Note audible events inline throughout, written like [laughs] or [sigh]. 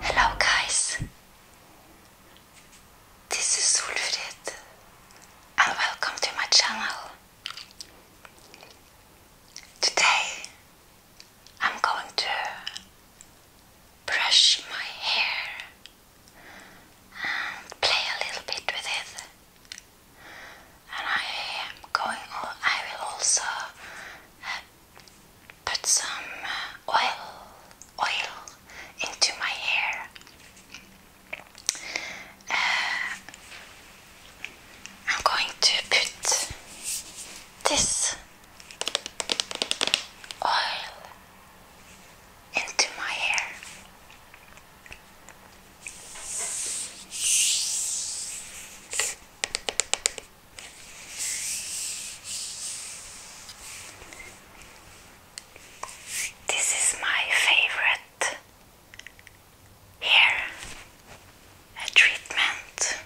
Hello, guys. This is Ulfrid, and welcome to my channel. Today, I'm going to brush my hair and play a little bit with it. And I am going. Oh, I will also uh, put some uh, oil oil into my hair. Uh, I'm going to put this oil into my hair. This is my favorite hair treatment.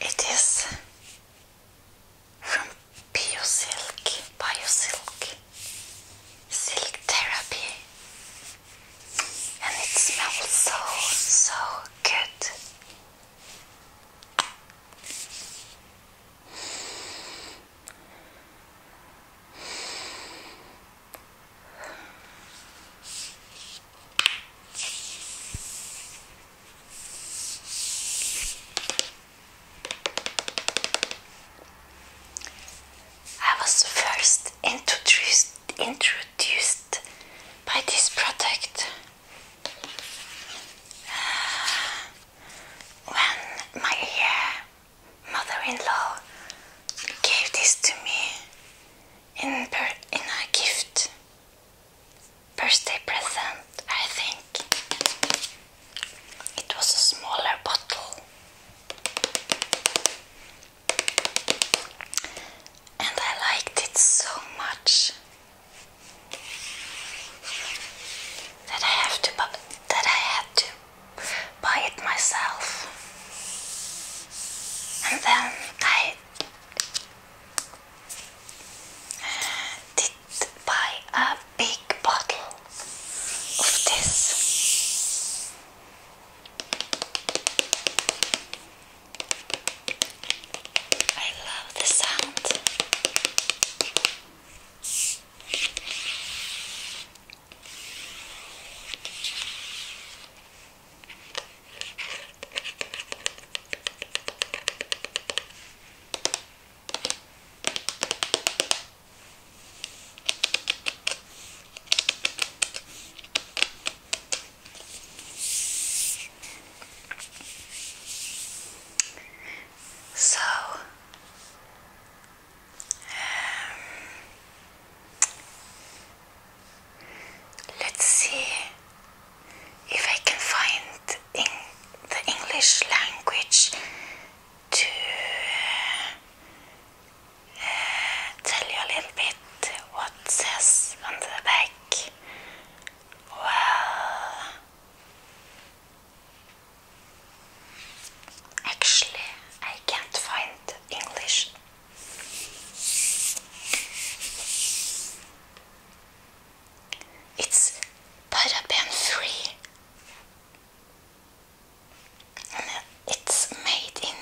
It is from Biosilk, Biosilk, Silk Therapy, and it smells so, so good. I was first introduced, introduced by this product uh, when my uh, mother-in-law gave this to me in, in a gift birthday present, I think. It was a smaller bottle. And I liked it so much that I have to that I had to buy it myself. And then I did buy a big bottle of this. I love the sound. So, um, let's see if I can find in the English language to uh, tell you a little bit what says on the back. Well, actually, I can't find English. It's Butter Pen Free. it's made in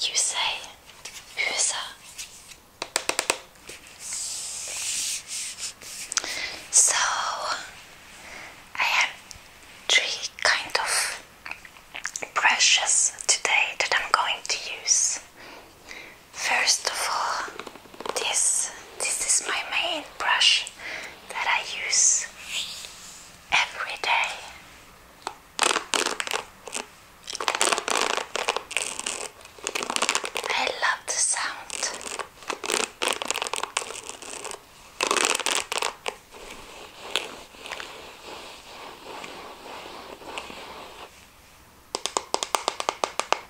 USA. USA. So I have three kind of brushes today that I'm going to use. First of all, this this is my main brush that I use every day. I love the sound.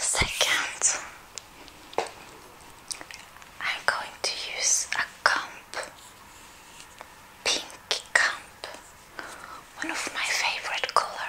Second, I'm going to use a comp, pink comp, one of my favorite color.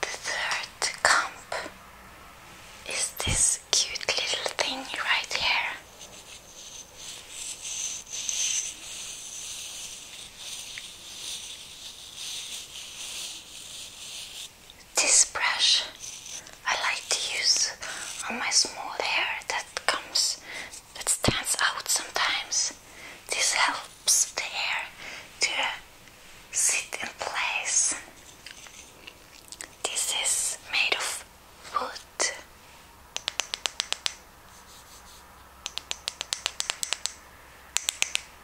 The third comp is this cute little thing right here. This brush I like to use on my small hair that comes, that stands out sometimes. This helps the hair to sit in place. This is made of wood.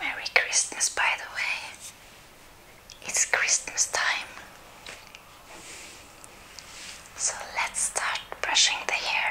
Merry Christmas, by the way. It's Christmas time. So let's start brushing the hair.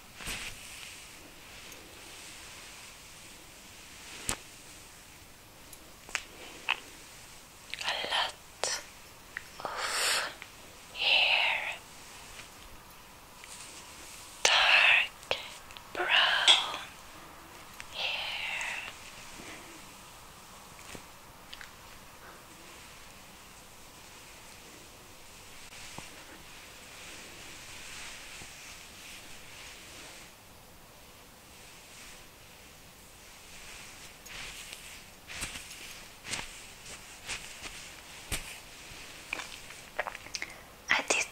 A lot of hair, dark brown hair. I did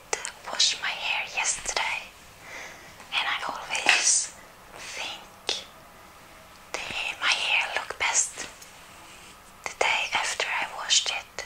wash my hair yesterday, and I always think the, my hair looked best the day after I washed it.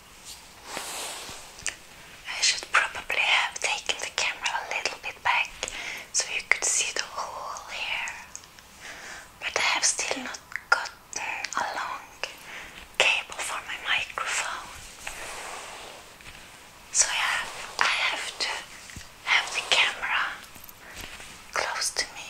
I should probably have taken the camera a little bit back so you could see the whole here, but I have still not gotten a long cable for my microphone, so I I have to have the camera close to me.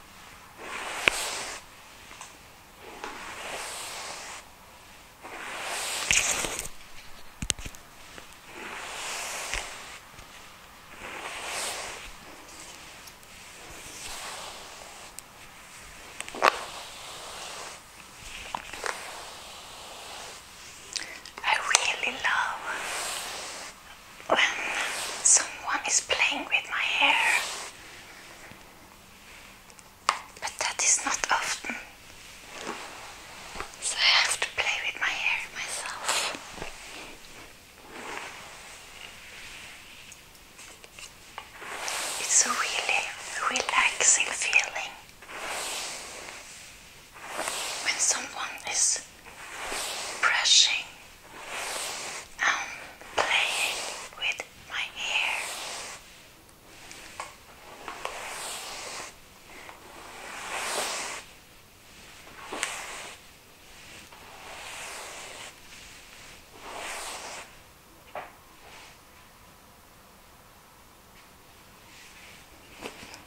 I really love when someone is playing with my hair. But that is not often. So I have to play with my hair myself. It's a really relaxing feeling when someone is just brushing and playing with my hair.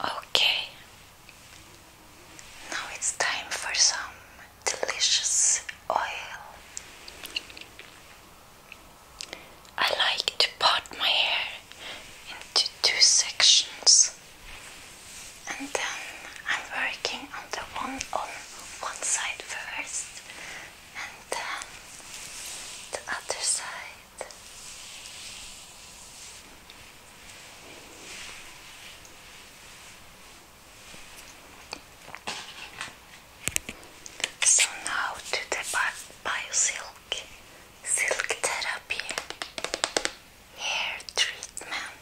Okay, now it's time for some delicious oil. I like to part my hair into two sections and then I'm working on the one on one side first and then uh, the other side. So now to the BioSilk Silk Therapy Hair Treatment.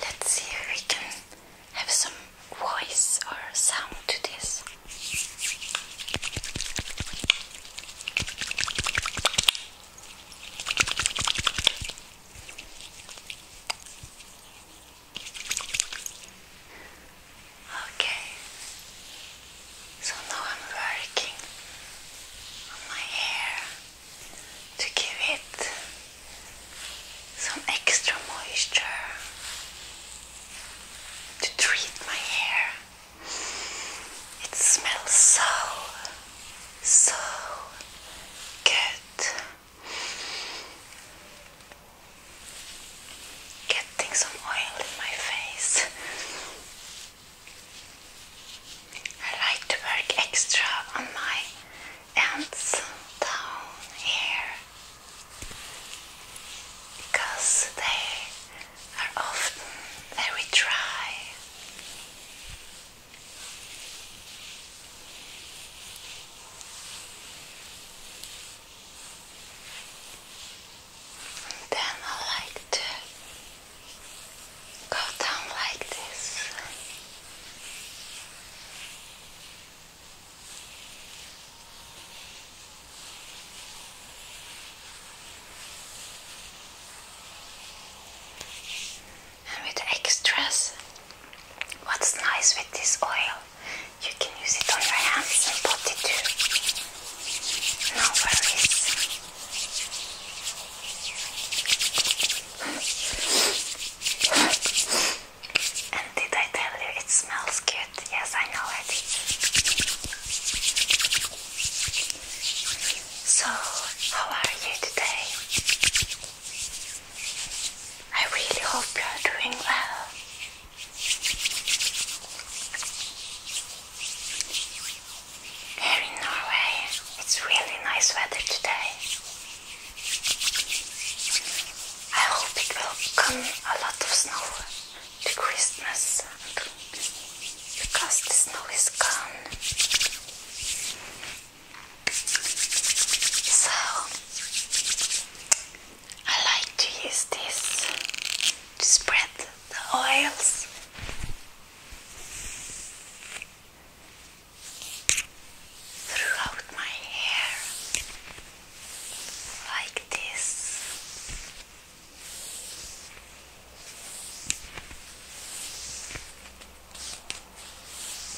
Let's see if we can have some voice or sound to this. Okay, so now I'm working on my hair to give it some extra moisture to treat my hair. It smells so, so good. Getting some oil in my face. I like to work extra on my ends down here because they are often very dry. then I like to go down like this. And with extras, what's nice with this oil, you can use it on your hands and body too. No worries. And did I tell you it smells good? Yes, I know it. So, how are you today? I really hope you are doing well. Here in Norway, it's really nice weather today. I hope it will come a lot of snow to Christmas because the snow is gone. So I like to use this to spread the oils. Throughout my hair, like this.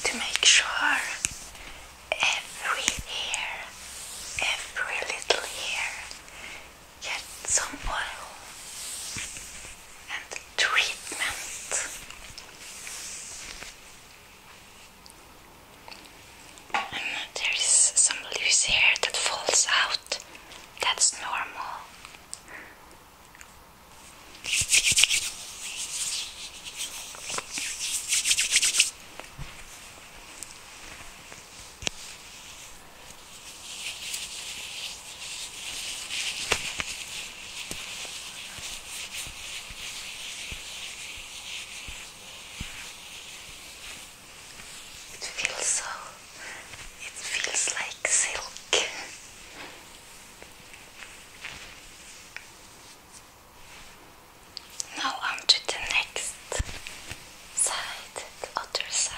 To make sure every hair, every little hair gets some oil and treatment there is some loose hair that falls out. That's normal. It feels so, it feels like silk. Now on to the next side, the other side.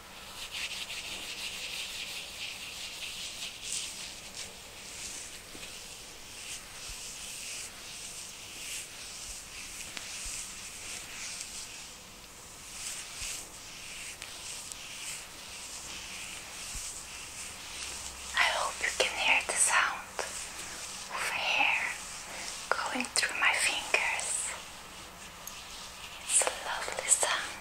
I hope you can hear the sound of hair going through my fingers. It's a lovely sound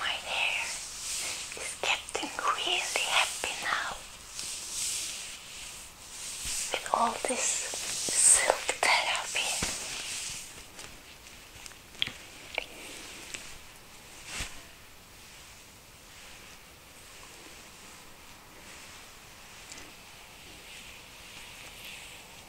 My hair is getting really happy now with all this silk therapy.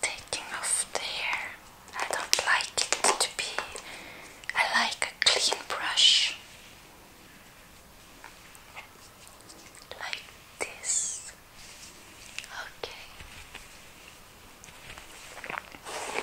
Taking off the hair. I don't like it to be. I like a clean brush. Like this. Okay.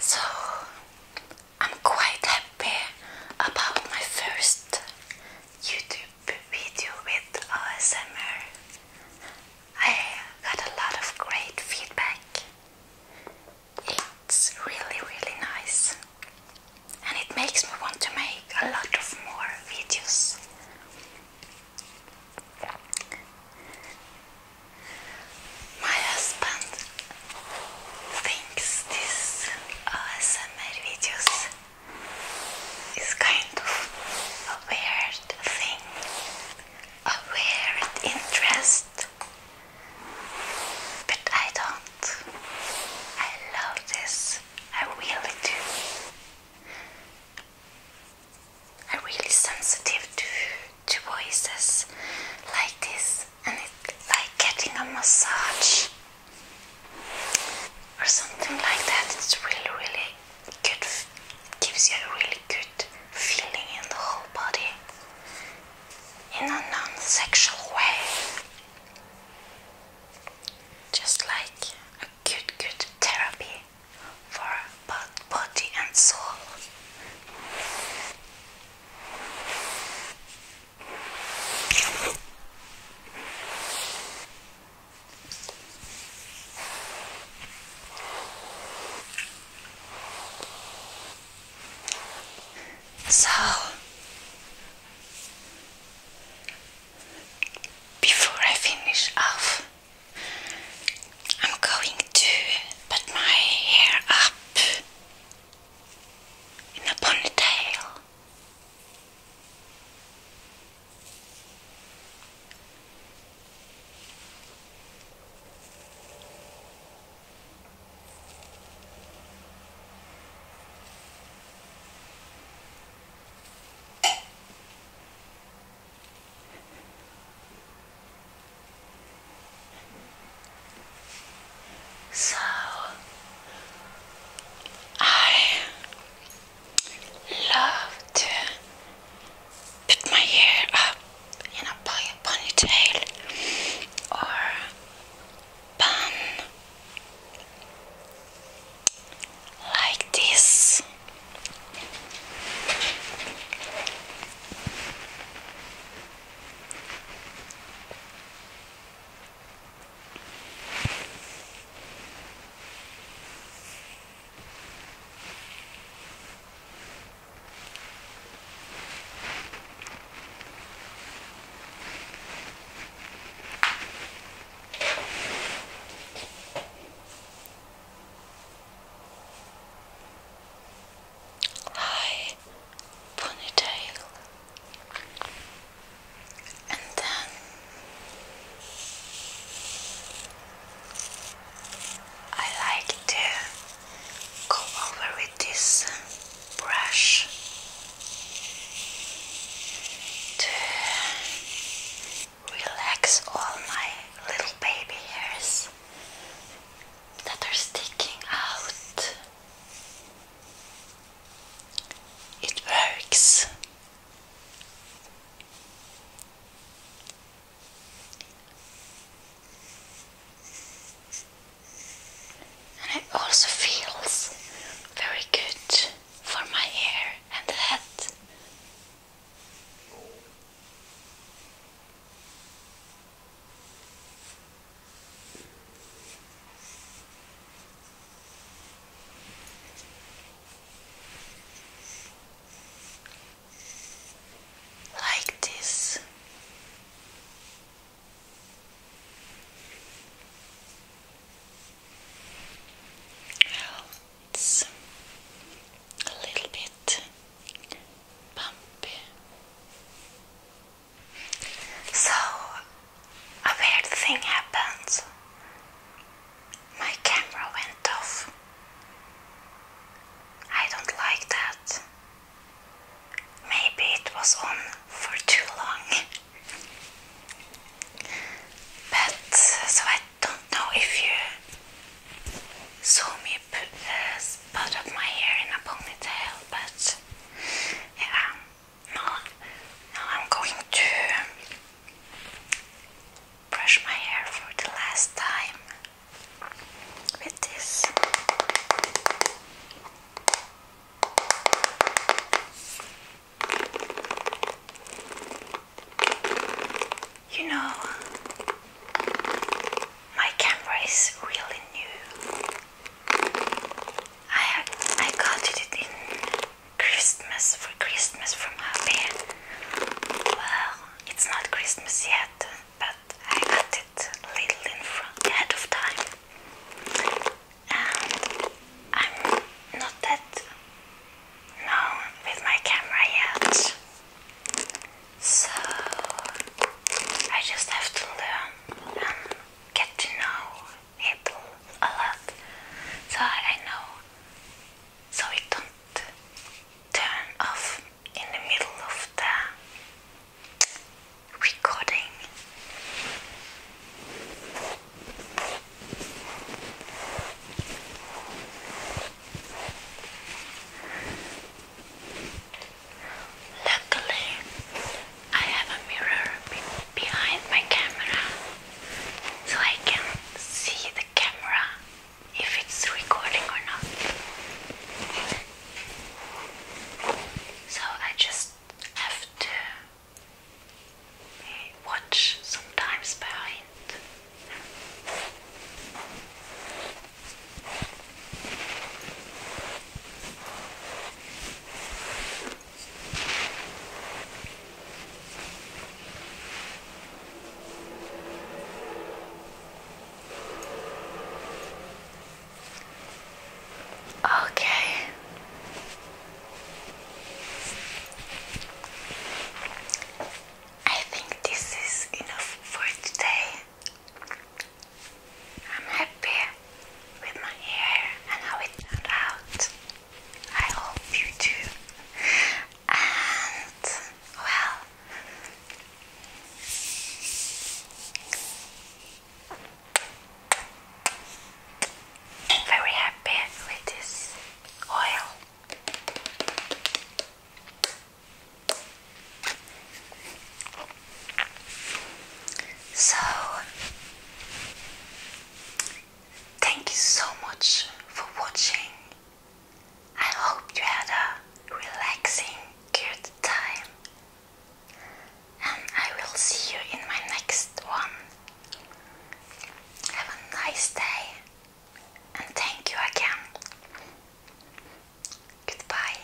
So I'm quite happy about my first YouTube video with ASMR. I got a lot of great feedback. It's really, really nice and it makes me want to make a lot of more videos. My husband thinks this ASMR videos is kind of a weird thing, a weird interest, but I don't. I love this. I really do. I'm really sensitive to to voices like this, and it's like getting a massage or something like that. It's really, really good. Gives you a really good feeling in the whole body in a non-sexual way just like a good, good therapy for both body and soul. So, before I finish off, I'm going to put my hair up in a ponytail. So I love to put my hair up in a ponytail or pan like this high ponytail and then I like to go over with this um, brush to relax all my little baby hairs that are sticking out. It works and it also feels very good for my hair and head. Like this, it's a little bit bumpy. So a weird thing happened. My camera went off. I don't like that. Maybe it was on for too long. [laughs] But so I don't know if you saw me put a of my hair in a ponytail, but yeah, um, now no, I'm going to brush my hair for the last time with this. You know, my camera is really new. I I got it in Christmas for Christmas from Happy. Well, it's not Christmas yet, but I got it a little in front ahead of time um, I'm not that known with my camera yet, so I just have to learn and get to know people a lot, so I know, so it don't turn off in the middle of the recording. Luckily, I have a mirror behind my camera so I can see the camera if it's recording or not. So I just have to eh, watch sometimes behind. Okay. I think this is enough for today. I'm happy with my hair and how it turned out. I hope you do. And well, very happy with this oil. So, thank you so much for watching. I hope you had a relaxing, good time and I will see you in my next one. Have a nice day and thank you again. Goodbye.